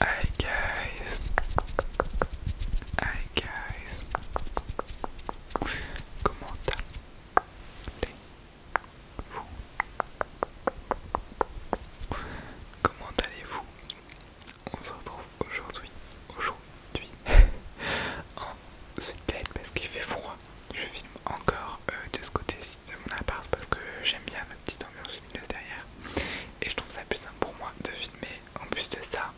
Hi guys, hi guys, comment allez-vous? Comment allez-vous? On se retrouve aujourd'hui, aujourd'hui, en Play parce qu'il fait froid. Je filme encore euh, de ce côté-ci de mon appart parce que j'aime bien ma petite ambiance lumineuse derrière et je trouve ça plus simple pour moi de filmer en plus de ça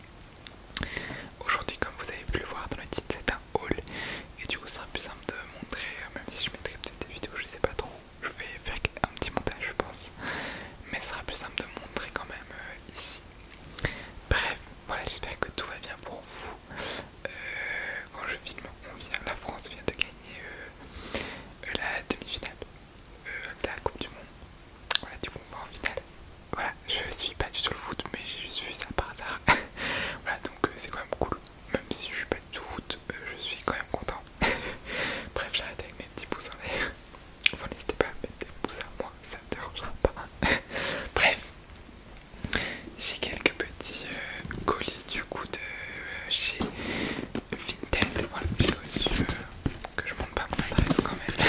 aujourd'hui comme vous avez pu le voir dans le titre c'est un haul et du coup ce sera plus simple de montrer euh, même si je mettrai peut-être des vidéos je sais pas trop je vais faire un petit montage je pense mais ce sera plus simple de montrer quand même euh, ici bref voilà j'espère que tout va bien pour vous euh, quand je filme on vient la France vient de gagner euh, la demi-finale euh, la Coupe du Monde. Voilà, du coup, on en finale. Voilà, je suis pas du tout le foot, mais j'ai juste vu ça par hasard. voilà, donc euh, c'est quand même cool. Même si je suis pas du tout foot, je suis quand même content. Bref, j'arrête avec mes petits pouces en l'air. n'hésitez pas à mettre des pouces à moi, ça ne dérangera pas. Bref, j'ai quelques petits colis du coup de chez Vinted. Voilà, j'ai aux euh, que je montre pas mon adresse quand même.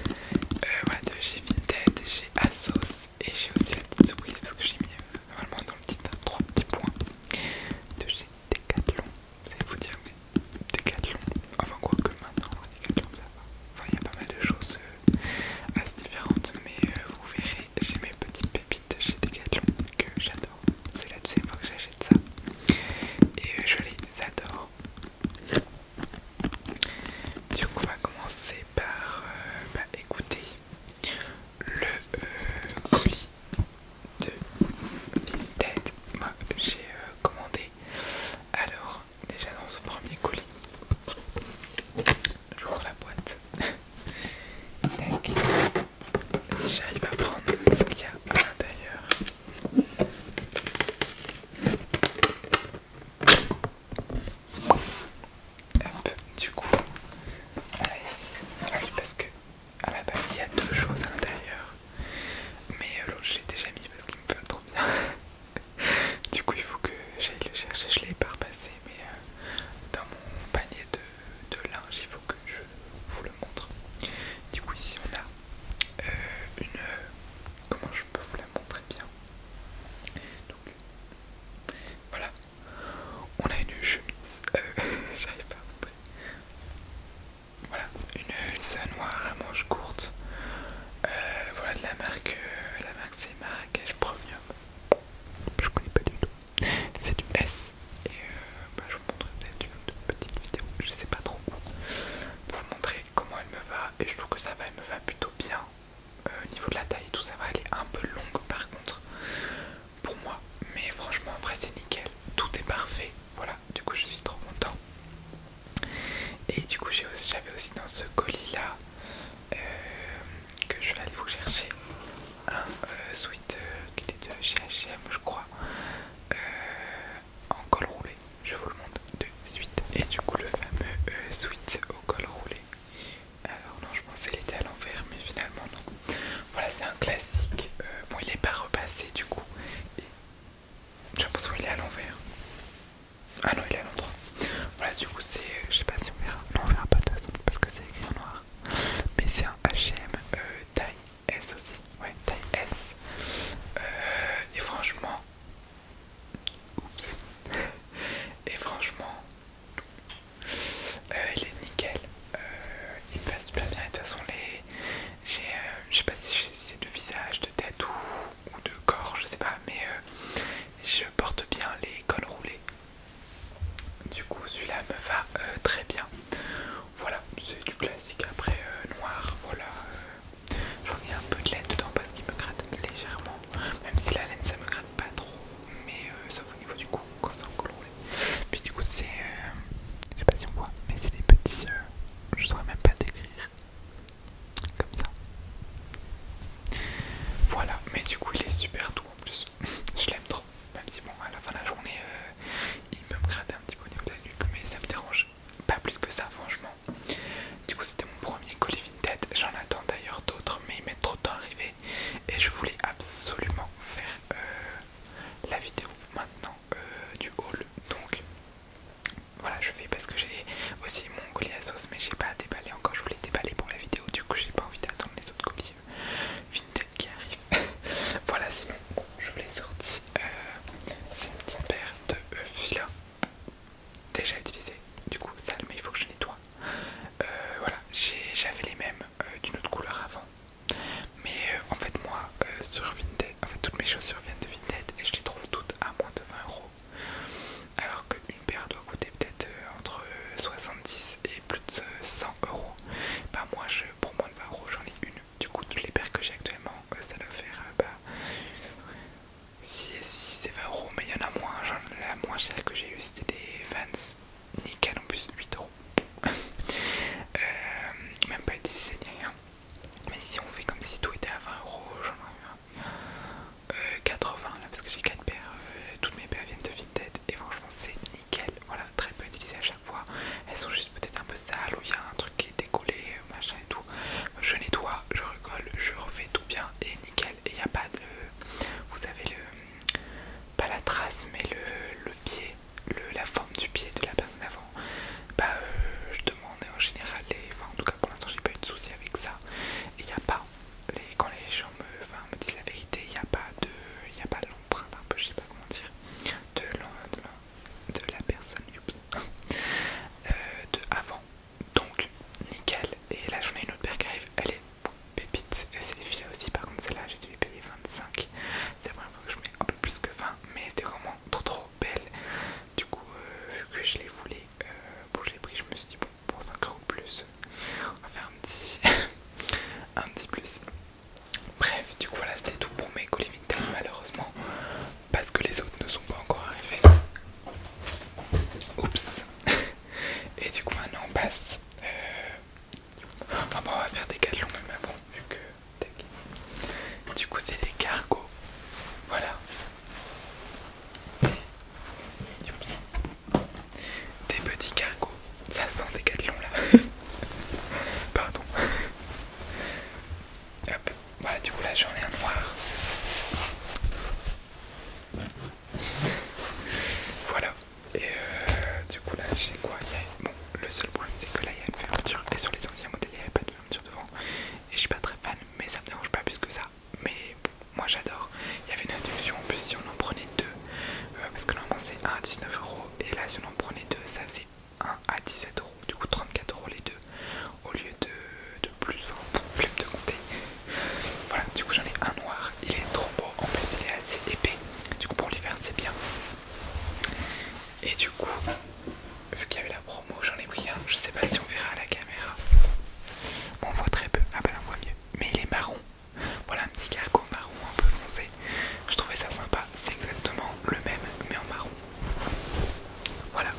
Euh, voilà, de chez Vinted, chez Asos et j'ai aussi la petite surprise parce que j'ai mis euh, normalement dans le titre hein, trois petits points de chez Decathlon. Vous allez vous dire, mais Decathlon, enfin quoi que maintenant, Decathlon ça va. Enfin, il y a pas mal de choses assez différentes, mais vous verrez, j'ai mes petites pépites de chez Decathlon que j'adore. C'est la deuxième fois que j'achète ça. Et euh, je les adore. Du coup, on va commencer par euh, bah, écouter le euh, colis de Vinted. Moi, j'ai commandé. Alors, déjà dans ce premier colis, j'ouvre la boîte. si j'arrive à prendre ce qu'il y a à l'intérieur. Hop, du coup, voilà ah parce que à la base il y a deux choses à l'intérieur, mais euh, l'autre je l'ai déjà mis parce qu'il me fait trop bien. du coup, il faut que j'aille le chercher. Je l'ai pas repassé, mais euh, dans mon panier de, linge, il faut que je vous le montre. Du coup ici on a euh, une... Comment je peux vous la montrer bien Donc voilà, on a une chemise, euh, j'arrive pas à montrer. Voilà, une noire à manches courte euh, voilà de la marque, la marque c'est Marrakech Premium. Je connais pas du tout. C'est du S et euh, bah, je vous montrerai peut-être une petite vidéo, je sais pas trop pour vous montrer comment elle me va et je trouve que ça va, elle me va plutôt bien. Euh, au niveau de la taille et tout ça va, elle est un peu longue par contre pour moi, mais franchement après c'est nickel, tout est parfait, voilà, du coup je suis trop content. Et du coup j'avais aussi, aussi dans ce colis là, euh, que je vais aller vous chercher, un switch euh, qui était de chez H&M je crois euh, en col roulé je vous le montre de suite et du coup le fameux euh, suite au col roulé alors non je pensais qu'il était à l'envers mais finalement non voilà c'est un classique bon il est pas repassé du coup j'ai l'impression qu'il est à l'envers ah non il est à l'endroit voilà du coup c'est je sais pas si on verra non on verra pas de toute façon parce que c'est écrit en noir mais c'est un HM taille S aussi. Ouais, taille S. Euh, et franchement. Oups. Et franchement. Euh, il est nickel. il me bien. de toute façon, les. J'ai. je sais pas si c'est de visage, de tête ou, de corps, je sais pas. Mais je porte bien les cols roulés. Du coup, celui-là me va euh, très bien. Voilà, c'est du classique après euh, noir. Voilà, euh, j'en ai un peu de laine dedans parce qu'il me gratte légèrement. Même si la laine ça me gratte pas trop, mais sauf au niveau du cou quand c'est coloré. Puis du coup, c'est. je sais pas si on voit, mais c'est des petits. je saurais même pas décrire. Comme ça. Voilà, mais du coup, il est super doux en plus. je l'aime trop. Même si bon, à la fin de la journée, euh, il peut me gratter un petit peu au niveau de la nuque, mais ça me dérange pas plus que ça, franchement. Du coup, c'était mon premier colis tête J'en attends d'ailleurs d'autres, mais il mettent trop de temps à Et je voulais absolument faire euh, la vidéo maintenant euh, du haul. Donc voilà, je fais parce que j'ai aussi mon colis à sauce, mais j'ai pas à déballé encore. Je voulais déballer pour la vidéo, du coup, j'ai pas envie d'attendre les autres colis. Vinted qui arrive. voilà, sinon, je vous l'ai sorti. Euh, c'est une petite paire de euh, fils déjà utilisée. Du coup, sale, mais il faut que je nettoie. Euh, voilà, j'avais les mêmes d'une autre couleur avant. Mais en fait, moi, sur Vinted, en fait, toutes mes chaussures viennent de Vinted et je les trouve toutes à moins de 20 euros. Alors qu'une paire doit coûter peut-être entre 70 et plus. 100 euros. Bah, moi, je, pour moi de 20 euros, j'en ai une. Du coup, toutes les paires que j'ai actuellement, euh, ça doit faire euh, bah, si, c'est 20 euros, mais il y en a moins. la moins chère que j'ai eu, c'était des Vans nickel en plus, 8 euros. Euh, même pas utilisé ni rien. Mais si on fait comme si tout était à 20 euros, j'en ai eu 80 là, parce que j'ai 4 paires. toutes mes paires viennent de tête et franchement c'est nickel, voilà très peu utilisé à chaque fois, elles sont juste peut-être un peu sales ou il y a un truc qui est décollé, machin et tout, je nettoie, je recolle, je refais tout bien et nickel et il n'y a pas de, vous avez le, pas la trace mais le, le pied, le, la forme du pied de la personne avant bah euh, je demande en général, et enfin en tout cas pour l'instant j'ai pas eu de soucis avec ça, il n'y a pas quand les gens me, disent la vérité, il n'y a pas de l'empreinte, un peu, je sais pas comment dire, de, de la personne, euh, de avant. Donc, nickel. Et là, j'en ai une autre paire qui arrive, elle est pépite. C'est filets aussi, par contre, celle-là, j'ai dû payer 25. C'est la première fois que je mets un peu plus que 20, mais c'était vraiment trop trop belle. Du coup, euh, vu que je les voulais, euh, bon, je l'ai pris, je me suis dit, bon, pour 5 euros plus. On va faire un petit, un petit plus. Bref, du coup, voilà, c'était tout pour mes colis malheureusement, parce que les autres ne sont pas encore arrivés. Oups. Et du coup, maintenant, on passe. Euh, ah bah, on va faire des galons, même avant vu que. Du coup, c'est les cargos. Voilà. Oups. Des petits cargos. Ça sent des gatelons là. Pardon. Hop. Voilà, bah, du coup là j'en ai un noir. voilà. Et euh, du coup là j'ai quoi Bon, le seul problème c'est que là il y a une fermeture. Et sur les anciens modèles il n'y avait pas de fermeture devant. Et je suis pas très fan, mais ça me dérange pas plus que ça. Mais moi j'adore. Il y avait une induction. en plus si on en prenait deux, euh, parce que normalement c'est 1 à 19 euros, et là si on en prenait deux, ça faisait 1 à 17 euros, du coup 34 euros les deux, au lieu de, de plus, Je hein. flemme de compter. Voilà, du coup j'en ai un noir, il est trop beau, en plus il est assez épais, du coup pour l'hiver c'est bien. Et du coup, vu qu'il y avait la promo, j'en ai pris un, je sais pas si on verra à la caméra. On voit très peu, ah bah ben, on voit mieux, mais il est marron voilà un petit cargo marron un peu foncé. Je trouvais ça sympa. C'est exactement le même mais en marron. Voilà.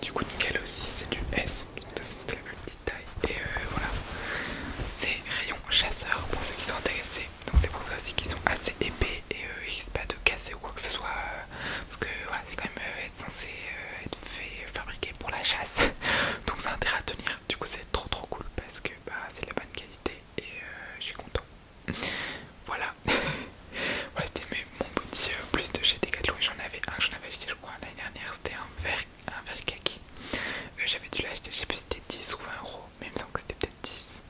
Du coup nickel aussi c'est du S. De toute façon c'était la plus petite taille. Et euh, voilà. C'est rayon chasseur pour ceux qui sont intéressés. Donc c'est pour ça aussi qu'ils sont assez épais et euh, ils risquent pas de casser ou quoi que ce soit. Euh, parce que voilà, c'est quand même censé être fait, fabriqué pour la chasse. Donc ça intérêt à tenir. Du coup c'est trop trop cool parce que bah, c'est la bonne qualité et euh, je suis content. voilà, c'était mon petit euh, plus de chez Decathlon et j'en avais un, j'en avais acheté je crois l'année dernière, c'était un verre un verre kaki. Euh, j'avais dû l'acheter, je sais plus si c'était 10 ou 20 euros, mais il me semble que c'était peut-être 10.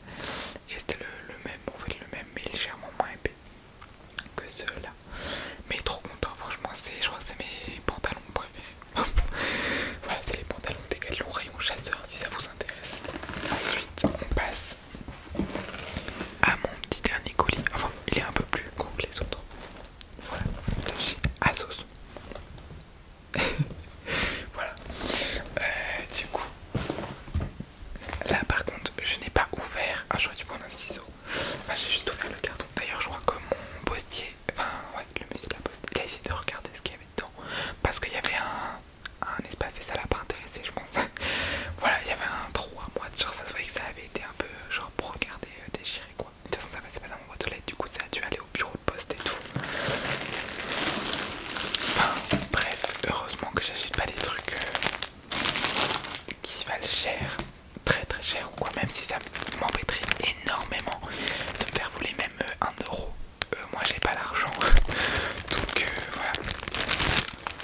Et c'était le, même, en fait le même mais légèrement moins épais que ceux-là. Mais trop content, franchement, je crois que c'est mes pantalons préférés. voilà, c'est les pantalons Décathlon rayon chasseur si ça vous intéresse. Ensuite, on passe à mon petit dernier colis. Enfin, il est un peu plus gros que les autres. Voilà, voilà. Euh, du coup, là par contre, je n'ai pas ouvert. Ah, j'aurais dû prendre un ciseau. j'ai juste ouvert le carton. D'ailleurs, je crois que mon postier enfin ouais, le musée de la poste, il a essayé de regarder ce qu'il y avait dedans parce qu'il y avait un, espace et ça l'a pas intéressé je pense. voilà, il y avait un trou à moi, genre ça se voyait que ça avait été un peu genre pour regarder euh, déchirer déchiré quoi. De toute façon ça passait pas dans mon boîte aux lettres, du coup ça a dû aller au bureau de poste et tout. Enfin bref, heureusement que j'achète pas des trucs euh, qui valent cher, très très cher ou quoi, même si ça m'embêterait énormément de me faire voler même 1 euh, euro. Euh, moi j'ai pas l'argent. Donc euh,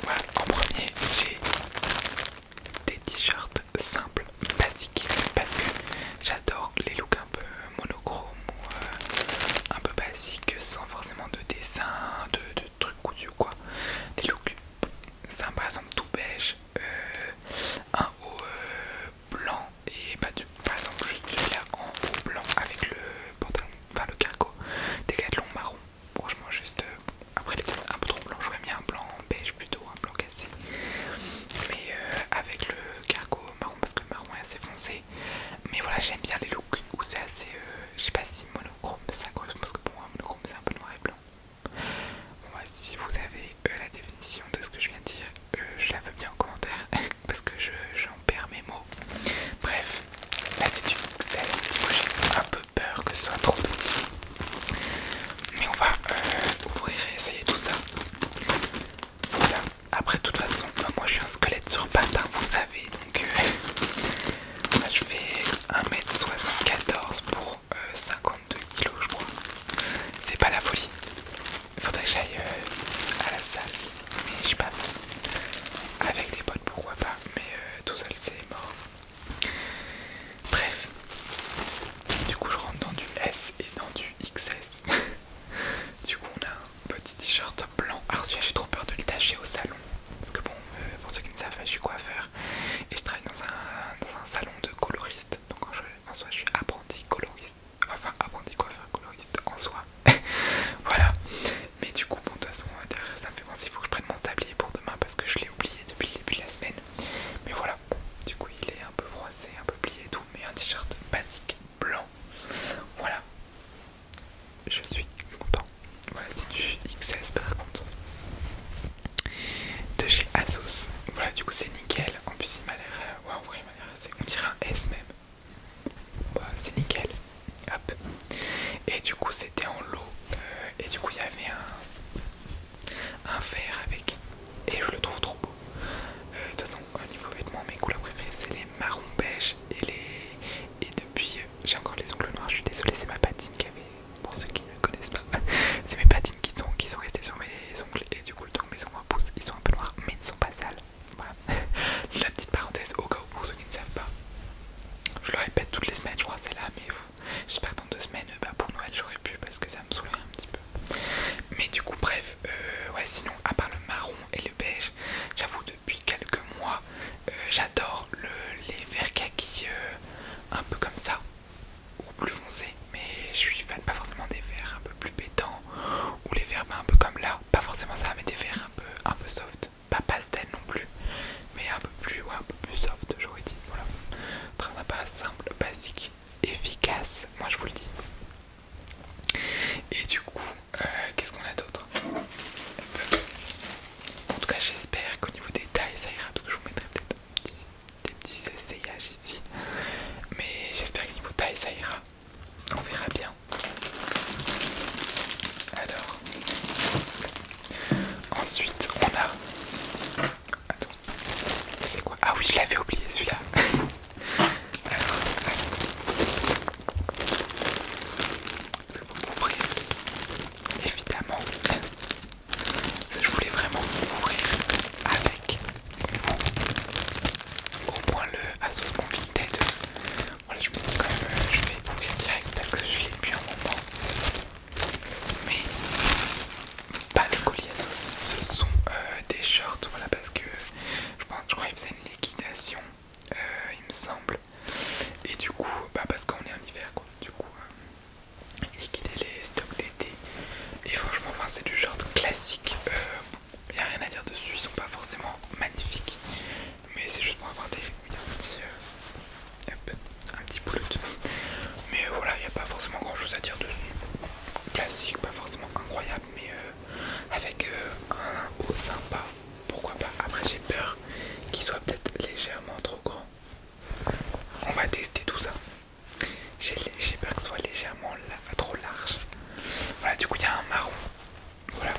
voilà. en premier j'ai des t-shirts simples, basiques, parce que j'adore les looks un peu monochrome ou un peu basiques sans forcément de dessin, de, trucs trucs ou quoi. Les looks simples, par exemple tout beige, un haut blanc et pas bah, du, par exemple juste du en haut blanc avec le pantalon, enfin le cargo des décathlon marron. Franchement juste, euh, après les un peu trop blanc, j'aurais mis un blanc beige plutôt, un blanc cassé. Mais euh, avec le cargo marron parce que marron est assez foncé. Mais voilà j'aime bien les looks où c'est assez, euh, je sais pas si monochrome ça correspond parce que pour moi monochrome c'est un peu noir et blanc. Bon, bah, si vous avez euh, la définition de ce que je viens de dire, euh, je la veux bien en commentaire parce que j'en perds mes mots. Bref, là c'est du pixel, j'ai un peu peur que ce soit trop petit. Mais on va euh, ouvrir et essayer tout ça. Voilà, après de toute façon, bah, moi je suis un squelette sur patin hein, vous savez, donc là je fais 1m74 pour 52 je crois. C'est pas la folie. Il faudrait que j'aille euh, à la salle. Mais je sais pas. Avec des potes pourquoi pas. Mais euh, tout seul c'est mort. Bref. Du coup je rentre dans du S et dans du XS. du coup on a un petit t-shirt blanc. Alors ah, celui-là j'ai trop peur de le tâcher au salon. Parce que bon, euh, pour ceux qui ne savent pas, je suis coiffeur et je travaille dans un, dans un salon de coloriste donc en soi je suis apprenti coloriste, enfin apprenti coiffeur coloriste en soi, voilà. Mais du coup, bon, de toute façon, ça me fait penser, il faut que je prenne mon tablier pour demain parce que je l'ai oublié depuis le début de la semaine. Mais voilà, du coup, il est un peu froissé, un peu plié et tout, mais un t-shirt basique blanc. Voilà, je suis content. Voilà, c'est du XS par contre de chez Asos. Voilà, du coup, c'est nickel. En plus, il m'a l'air. Euh, ouais vrai il m'a l'air assez. On dirait un S même. Bah, c'est nickel. Hop. Et du coup, c'était en lot. Euh, et du coup, il y avait un, un verre avec. Et je le trouve trop beau. Euh, de toute façon, au niveau vêtements, mes couleurs préférées, c'est les marrons beige et les. Et depuis, j'ai encore les ongles noirs. Je suis désolée, c'est ma patine qui avait. Pour ceux qui ne connaissent pas, c'est mes patines qui sont restées sur mes ongles du coup le temps que mes ongles poussent ils sont un peu noirs mais ils ne sont pas sales voilà la petite parenthèse au cas où pour ne savent pas je le répète toutes les semaines je crois c'est là mais j'espère que dans deux semaines bah, pour Noël j'aurais pu parce que ça me saoulerait un petit peu mais du coup bref euh, ouais sinon à part le marron et le beige j'avoue depuis quelques mois euh, j'adore les verts kaki euh, un peu comme ça ou plus foncé mais je suis fan pas forcément des verres un peu plus pétants ou les verres bah, un peu comme là, pas forcément ça, mais des verres un peu, un peu soft, pas pastel non plus, mais un peu plus, un peu plus soft, j'aurais dit. Voilà, très sympa, simple, basique, efficace, moi je vous le dis. Et du coup, euh, qu'est-ce qu'on a d'autre En tout cas, j'espère qu'au niveau des tailles ça ira parce que je vous mettrai peut-être des petits essayages ici. Mais j'espère que niveau taille ça ira. On verra bien. Alors. Ensuite on a... Attends. C'est quoi Ah oui je l'avais oublié celui-là. Alors. Il Évidemment. Je voulais vraiment ouvrir avec vous au moins le de Vinted Voilà, je me dis quand même, euh, je vais ouvrir direct parce que je l'ai depuis un moment. Mais pas le colis assos, ce sont euh, des shorts. Voilà, parce que je, crois qu'ils faisait une liquidation, euh, il me semble. Et du coup, bah parce qu'on est en hiver quoi. Du coup, liquider les stocks d'été. Et franchement, enfin, c'est du genre classique. Il euh, n'y a rien à dire dessus, ils sont pas forcément magnifiques. Mais c'est juste pour avoir un petit... Euh, mais voilà, il n'y a pas forcément grand chose à dire dessus. Classique, pas forcément incroyable, mais euh, avec un haut sympa. Pourquoi pas Après, j'ai peur qu'il soit peut-être légèrement trop grand. On va tester tout ça. J'ai peur que ce soit légèrement trop large. Voilà, du coup, il y a un marron. Voilà,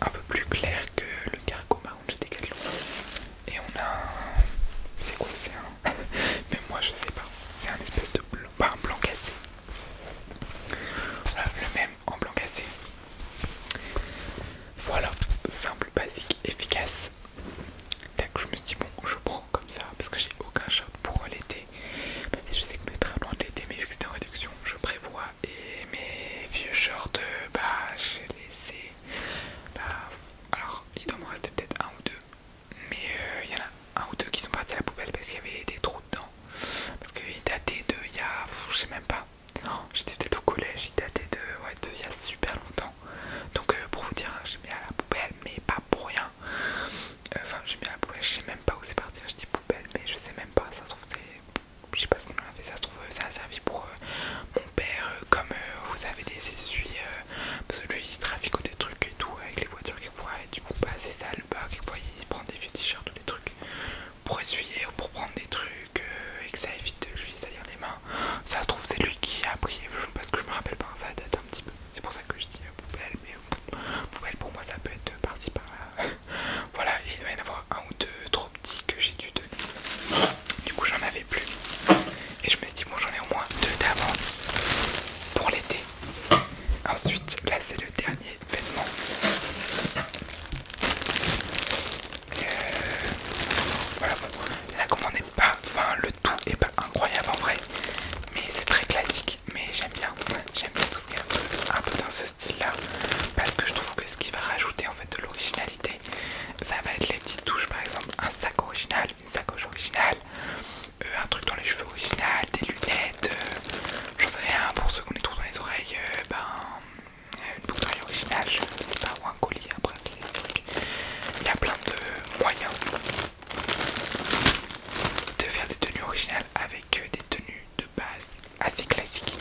un peu plus clair que le cargo marron de décalé Et on a un. C'est quoi C'est Mais moi, je sais pas. C'est un espèce de blanc. blanc cassé. Voilà, le même en blanc cassé. Voilà, simple, basique, efficace d'accord je me suis dit, bon, je prends comme ça parce que j'ai aucun choc pour l'été. Même si je sais que le très loin de l'été, mais vu que c'était en réduction, je prévois. Et mes vieux shorts, bah, j'ai laissé. Bah, alors, il doit me rester peut-être un ou deux. Mais euh, il y en a un ou deux qui sont partis à la poubelle parce qu'il y avait des trous dedans. Parce qu'ils dataient de il y a. je sais même pas. Oh, j'étais peut-être au collège, ils dataient de. Ouais, de il y a super longtemps. Donc euh, pour vous dire, hein, j'ai mis à la poubelle, mais pas pour rien. Euh, enfin, j'ai mis à la poubelle, je sais même pas où c'est parti. Hein, je dis poubelle, mais je sais même pas. Ça se trouve, je sais pas ce qu'on en a fait. Ça se trouve, euh, ça a servi pour mon père, comme vous avez des essuies, parce que lui il trafique des trucs et tout avec les voitures qu'il voit. Et du coup, pas bah, c'est ça le bas. Quelquefois, il prend des vieux t-shirts ou des trucs pour essuyer ou pour prendre des trucs et que ça évite de lui salir les mains. Ça se trouve, c'est lui qui a pris parce que je me rappelle pas, ça date un petit peu. C'est pour que je dis poubelle, mais poubelle pour moi ça peut être parti par là. voilà, il doit y en avoir un ou deux trop petits que j'ai dû donner. Du coup, j'en avais plus. Et je me suis dit, bon, j'en ai au moins deux d'avance pour l'été. Ensuite, là c'est le dernier vêtement. Euh, voilà, bon, la on est enfin le tout est pas incroyable en vrai, mais c'est très classique. Mais j'aime bien, j'aime bien tout ce qui est un peu, dans ce style-là, parce que je trouve que ce qui va rajouter en fait de l'originalité, ça va être les petites touches, par exemple un sac original, une sacoche originale, euh, un truc dans les cheveux original, des lunettes, euh, j'en sais rien. Pour ceux qu'on est trop dans les oreilles, euh, ben une boucle d'oreille originale, je sais pas, ou un collier, un bracelet, Il y a plein de moyens de faire des tenues originales avec euh, des tenues de base assez classiques.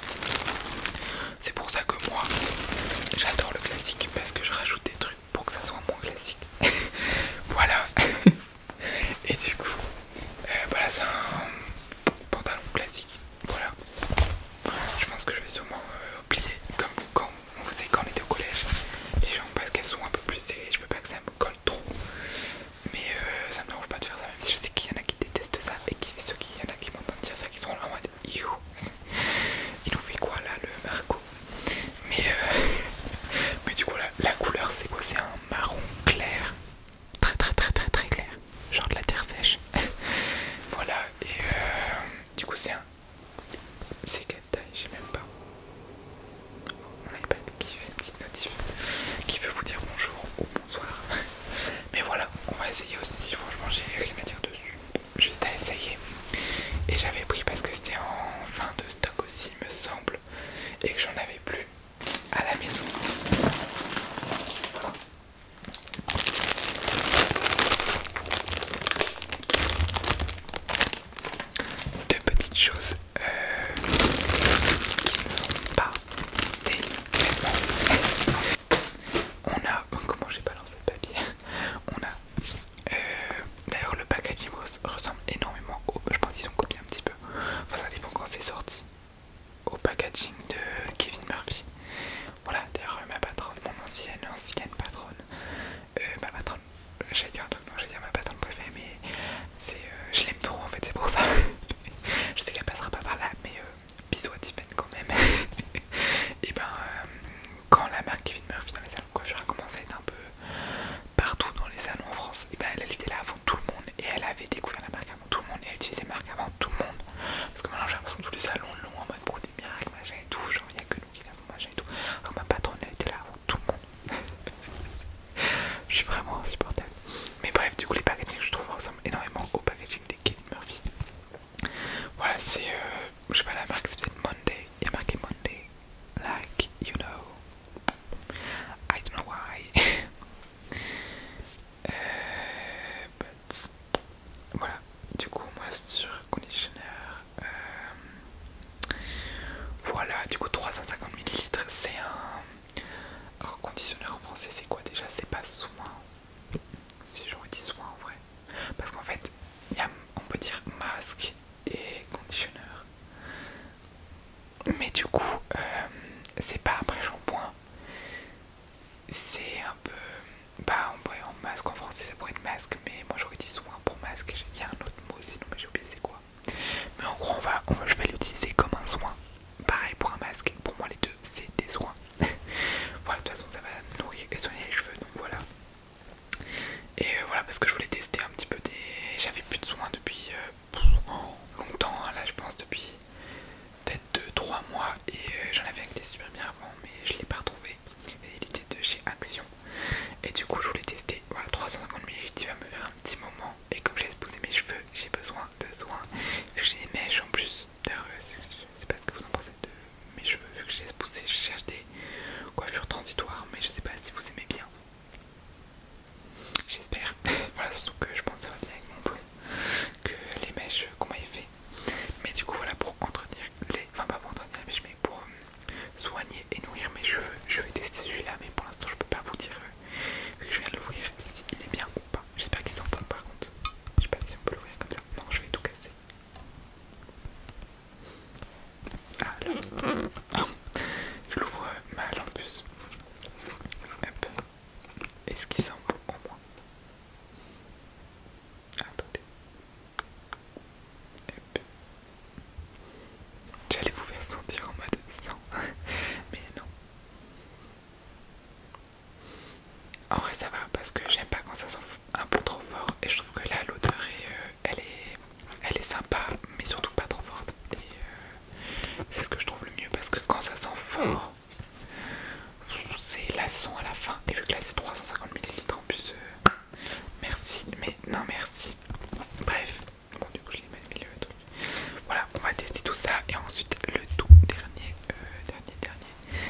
C'est pour ça que moi j'adore le classique parce que je rajoute des trucs pour que ça soit moins classique. voilà. Et du coup, euh, voilà, c'est un pantalon classique. Voilà. Je pense que je vais sûrement euh, oublier comme quand vous savez quand on était au collège, les gens parce qu'elles sont un peu plus serrées, je veux pas que ça me colle trop. Mais euh, ça me dérange pas de faire ça, même si je sais qu'il y en a qui détestent ça et ceux qui y en a qui m'entendent dire ça, qui sont en mode Il nous fait quoi là le Marco mais, euh, mais du coup la couleur c'est quoi C'est un marron clair, très très très très clair, genre de la terre sèche. voilà et euh, du coup c'est un c'est quelle taille J'ai même pas. Mon iPad qui fait une petite notif qui veut vous dire bonjour ou bonsoir. Mais voilà, on va essayer aussi. Franchement, j'ai rien à dire dessus. Juste à essayer. Et j'avais pris parce que c'était en fin de stock aussi, me semble, et que j'en avais plus à la maison deux petites choses euh, qui ne sont pas tellement. On a, comment j'ai balancé le papier On a, euh, d'ailleurs le packaging ressemble énormément au, je pense qu'ils ont copié un petit peu, enfin ça dépend quand c'est sorti, au packaging de Kevin Murphy. Voilà, d'ailleurs ma patronne, mon ancienne, ancienne patronne, euh, ma patronne, j'ai dire ma patronne préférée, mais c'est, euh, je l'aime trop en fait, c'est pour ça. je sais qu'elle passera pas par là, mais euh, bisous à Tiffany quand même. et ben, quand la marque Kevin Murphy dans les salons quoi, coiffure à être un peu partout dans les salons en France, et ben elle, était là avant tout le monde et elle avait découvert la marque avant tout le monde et elle utilisait la marque avant tout le monde. Parce que maintenant j'ai l'impression que tous les salons l'ont en mode produit miracle, machin et tout, genre il n'y a que qui ma patronne elle était là avant tout le monde. je suis vraiment insupportable. Mais bref, du coup les packaging je trouve ressemblent énormément au packaging des Kevin Murphy. Voilà, c'est euh, je sais pas la marque, c'est Monday. Il y a marqué Monday, like you know. I don't know why. Euh, but voilà, du coup moi c'est sur conditioner euh, voilà, du coup 350 ml, c'est un... Alors conditionneur en français c'est quoi déjà C'est pas soin. Si j'aurais dit soin en vrai. Parce qu'en fait, on peut dire masque et conditionneur. Mais du coup, euh, c'est pas après shampoing. C'est un peu... Bah en vrai, en masque en français ça pourrait être masque, mais moi j'aurais dit pour masque, Il y a un autre mot sinon, j'ai oublié c'est quoi. Mais en gros, on va, je vais l'utiliser comme un soin. Pareil pour un masque. Pour moi, les deux, c'est des soins. voilà, de toute façon, ça va nourrir et soigner les cheveux. Donc voilà. Et euh, voilà, parce que je voulais tester un petit peu des. J'avais plus de soins depuis euh, longtemps, hein, là je pense depuis peut-être 2-3 mois. Et euh, j'en avais un qui était super bien avant, mais je l'ai pas retrouvé et il était de chez Action et du coup je voulais tester voilà 350 et il va me faire un petit moment et comme j'ai espousé mes cheveux j'ai besoin de soins vu que j'ai des mèches en plus d'ailleurs euh, je sais pas ce que vous en pensez de mes cheveux vu que j'ai espousé, je cherche des coiffures transitoires mais je sais pas si vous aimez bien j'espère voilà surtout que je pense que ça va bien avec mon blond que les mèches qu'on m'avait fait mais du coup voilà pour entretenir les enfin pas pour entretenir les mèches mais pour euh, soigner et nourrir mes cheveux. Je vais tester celui-là, mais pour l'instant, je peux pas vous dire que euh, je viens de l'ouvrir s'il est bien ou pas. J'espère qu'il sent pas par contre. Je sais pas si on peut l'ouvrir comme ça. Non, je vais tout casser. Ah Je l'ouvre euh, mal en plus. Est-ce qu'il sent bon au moins J'allais vous faire sentir en mode sang. Mais non. En vrai ça va parce que j'aime pas quand ça sent un peu trop fort et je trouve que là l'odeur est, euh, elle est elle est sympa mais surtout pas trop forte et euh, c'est ce que je trouve le mieux parce que quand ça sent fort c'est la son à la fin et vu que là c'est 350 ml en plus euh, Merci, mais non merci. Bref, bon du coup je l'ai pas Voilà, on va tester tout ça et ensuite le tout dernier, euh, dernier, dernier,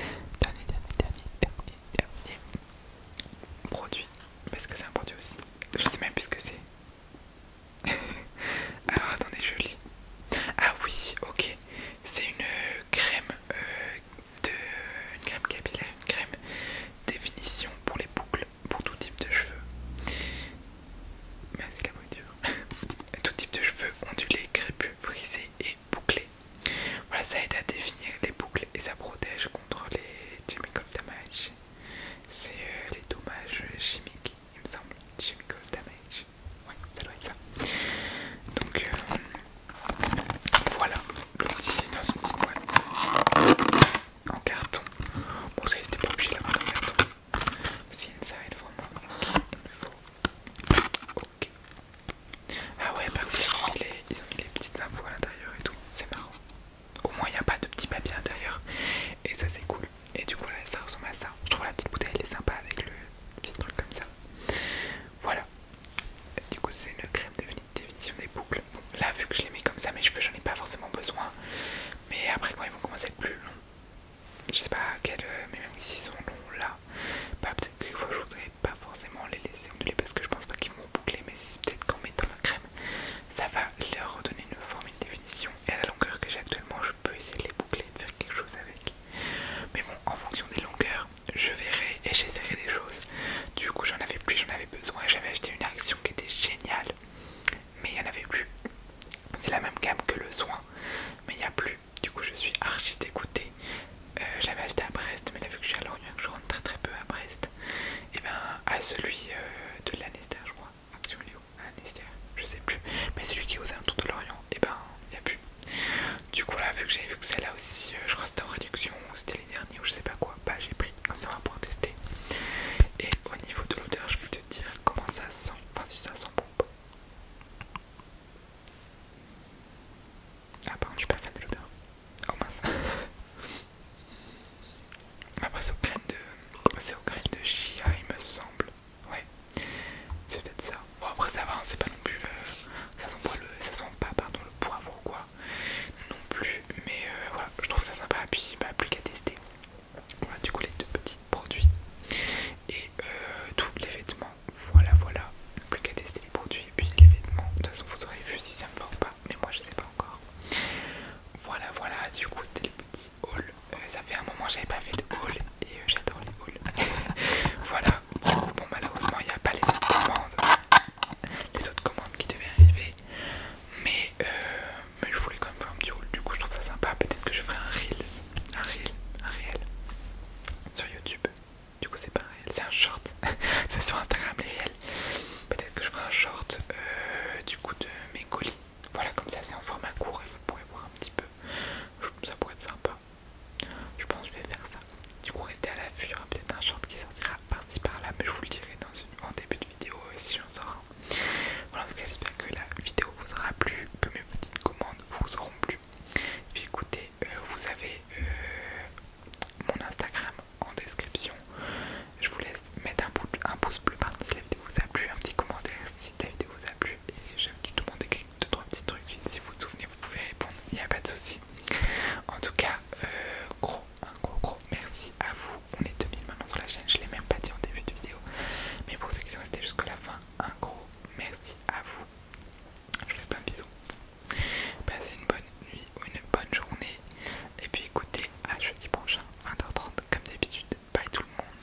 dernier, dernier, dernier, dernier, dernier produit. Parce que c'est un produit aussi. Je sais même plus ce que c'est. Alors attendez, je lis. Ah oui, ok. C'est une euh, crème euh, de euh, une crème capillaire, une crème définition pour les boucles, pour tout type de cheveux. Mais c'est la voiture. tout type de cheveux ondulés, crépus, frisés et bouclés. Voilà, ça aide à définir les boucles et ça protège contre les chemical damage. C'est euh, les dommages chimiques, il me semble. Chemical damage. Ouais, ça doit être ça. Donc, voilà, le petit dans une petite boîte en carton. Bon, ça n'était pas obligé de mettre en carton. ça va être vraiment Ok. Ah ouais, par contre, ils, ont mis les petites infos à l'intérieur et tout. C'est marrant. Au moins, il n'y a pas de petit papier à l'intérieur. Et ça, c'est cool. Et du coup, là, ça ressemble à ça. Je trouve la petite bouteille, elle est sympa avec le petit truc comme ça. Voilà. Du coup, c'est une crème de définition des boucles. là, vu que je les mets comme ça, mes cheveux, j'en ai pas forcément besoin. Mais après, quand ils vont commencer à être plus longs, je sais pas quel. Mais même s'ils sont longs là, bah, peut-être que je voudrais pas forcément les laisser onduler parce que je pense pas qu'ils vont boucler. Mais c'est peut-être qu'en mettant la crème, ça va leur redonner une forme, une définition. Et à la longueur que j'ai actuellement, je peux essayer de les boucler de faire quelque chose avec. Mais bon, en fonction des longueurs, je verrai et j'essaierai des choses. Du coup, j'en avais plus, j'en avais besoin. J'avais acheté une action qui était géniale, mais il n'y en avait plus. C'est la même gamme que le soin, mais il n'y a plus. Du coup, je suis archi dégoûtée. Euh, j'avais acheté à Brest, mais là, vu que je suis à Lorient, je rentre très très peu à Brest, et eh ben à celui euh, de l'Anester, je crois. Action ah, Léo, je sais plus. Mais celui qui est aux alentours de Lorient, et eh ben il n'y a plus. Du coup, là, vu que j'avais vu que celle-là aussi, euh, je crois que c'était en réduction, c'était les derniers ou je sais pas quoi, bah j'ai pris, comme ça pour tester. Et au niveau de l'odeur, je vais te dire comment ça sent, enfin si ça sent bon Ah pardon, je suis pas fan de l'odeur. Oh mince. Après c'est au grain de... c'est au de chia il me semble. Ouais, c'est peut-être ça. Bon après ça va, hein, c'est pas non plus Ça sent pas ça sent pas pardon le poivre ou quoi non plus mais euh, voilà je trouve ça sympa puis bah plus qu'à tester voilà du coup les deux petits produits et euh, tous les vêtements voilà voilà plus qu'à tester les produits et puis les vêtements de toute façon vous aurez vu si ça me va ou pas mais moi je sais pas encore voilà voilà du coup c'était les petit haul euh, ça fait un moment que j'avais pas fait de haul et j'adore les hauls voilà du coup bon malheureusement il n'y a pas les autres commandes les autres commandes qui devaient arriver. Euh, mais, je voulais quand même faire un petit rôle, du coup je trouve ça sympa. Peut-être que je ferai un Reels, un Reel, un Reel sur YouTube. Du coup, c'est pas un c'est un short. c'est sur Instagram, les réels. Peut-être que je ferai un short euh, du coup de mes colis. Voilà, comme ça, c'est en format court et vous pourrez voir un petit peu. Ça pourrait être sympa. Je pense que je vais faire ça. Du coup, restez à l'affût, il y aura peut-être un short qui sortira par-ci par-là, mais je vous le dirai en début de vidéo euh, si j'en sors Voilà, en tout cas, j'espère que la vidéo vous aura plu, que mes petites commandes vous auront plu. Puis écoutez, euh, vous avez euh, mon Instagram en description. Je vous laisse mettre un, un pouce bleu si la vidéo vous a plu, un petit commentaire si la vidéo vous a plu. Et j'aime tout le monde écrit 2-3 petits trucs. Si vous vous souvenez, vous pouvez répondre, il n'y a pas de souci. En tout cas, euh, gros, un gros, gros merci à vous. On est 2000 maintenant sur la chaîne, je l'ai même pas dit en début de vidéo. Mais pour ceux qui sont restés jusqu'à la fin, un gros merci à vous. Je vous fais plein de bisous. Passez une bonne nuit ou une bonne journée. Et puis écoutez, à jeudi prochain, 20h30, comme d'habitude. Bye tout le monde.